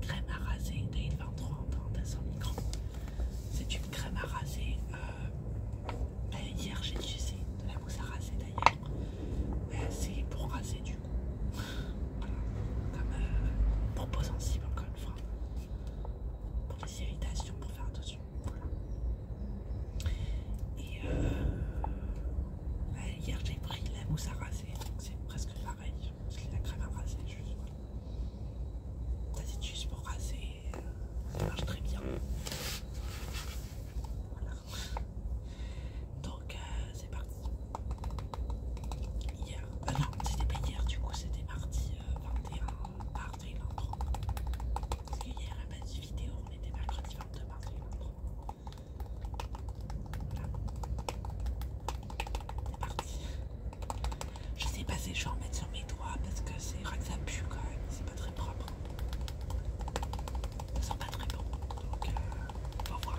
crème à raser Dale 23 en parenthèse microns micro. C'est une crème à raser. Euh, ben, hier j'ai utilisé de la mousse à raser d'ailleurs. Mais ben, C'est pour raser du coup. voilà. Comme pour cible sensible encore une fois. Pour les irritations, pour faire attention. Et euh, ben, hier j'ai pris de la mousse à raser, donc c'est presque pareil qu'il Parce qu'il la crème à raser, juste voilà. Ça c'est juste pour raser, euh, ça marche très bien. Voilà. Donc euh, c'est parti. Hier, euh, non, c'était pas hier, du coup c'était mardi 21 mardi 23. Parce que hier, à base de vidéo, on était mercredi 22 mardi 23. Voilà. C'est parti. Je sais pas si je vais en mettre sur mes doigts parce que c'est vrai que ça pue quand même, c'est pas très propre. Ça sent pas très bon, donc on euh, va voir.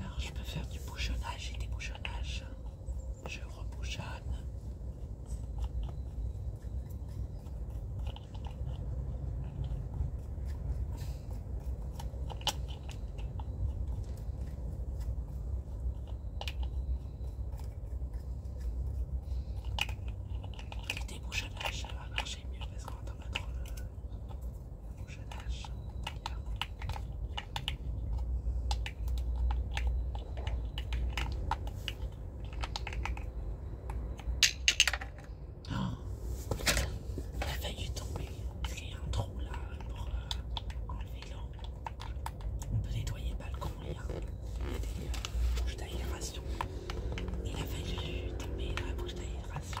Alors je peux faire du bouchonnage et des bouchonnages. Je rebouchonne. Les des ça va marcher mieux parce qu'on entend. pas trop mon jeune âge. Oh, il a failli y a un trou là pour euh, enlever l'eau. On peut nettoyer le balcon. Il y a, des euh, bouches d'aération. Il a failli tomber la bouche d'aération.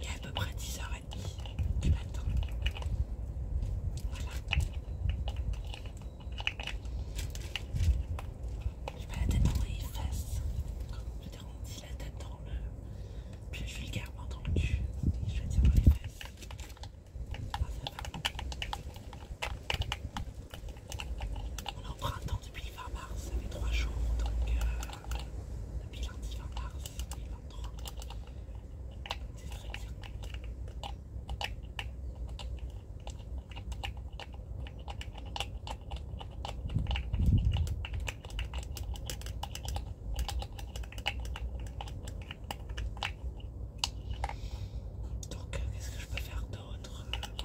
Il y a à peu près 10h30 du matin. Voilà. J'ai pas la tête dans les fesses. Je dit la tête dans le. Puis je vulgairement dans le cul. Et je vais dire dans les fesses. Ah, ça va. On est en printemps depuis le 20 mars, ça fait 3 jours donc. Euh, la C'est très bien. Donc, euh, qu'est-ce que je peux faire d'autre euh,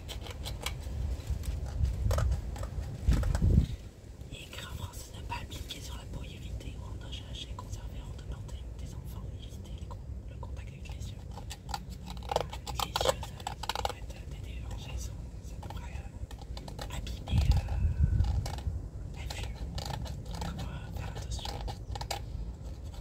Et écrire en français ne pas appliquer sur la pour éviter ou endanger, et conserver en demandant des enfants, éviter le contact avec les yeux. Les yeux, ça, pourrait être euh, des dérangés, ça pourrait euh, abîmer euh, la vue. faire attention?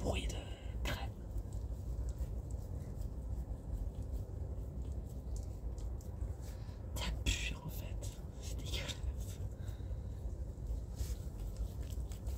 Bruit de crème. T'as pu en fait, c'est dégueulasse.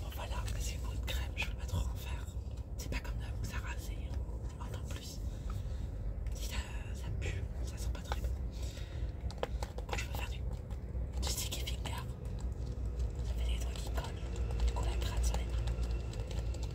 Bon voilà, c'est une de crème, je vais le pas trop en faire. C'est pas comme ça ça c'est en plus. Ça, ça pue, ça sent pas très bon. Moi je vais faire du, stick et finger. Ça fait des trucs qui collent, du coup la crème sur les mains.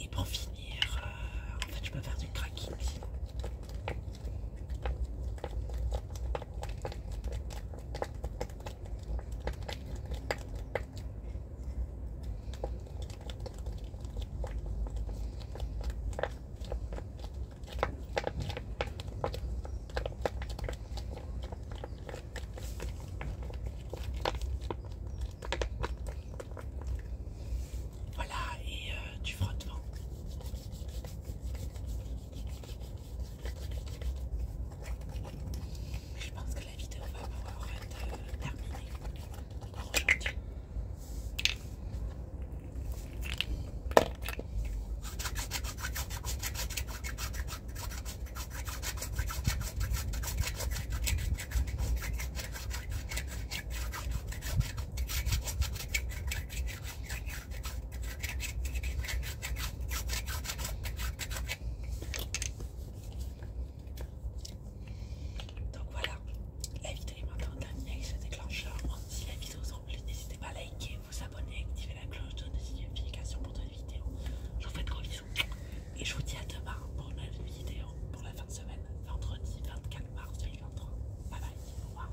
Et pour finir, euh, en fait, je peux faire du cracking. Voilà, et euh, tu frottes. vent je pense que la vidéo va pouvoir être terminée pour aujourd'hui. Donc voilà, la vidéo est maintenant terminée avec ce déclencheur. Si la vidéo vous a plu, n'hésitez pas à liker, vous abonner, activer la cloche de notification pour d'autres vidéos. Je vous fais de gros bisous et je vous dis à demain pour une nouvelle vidéo pour la fin de semaine, vendredi 24 mars 2023. Bye bye, au revoir.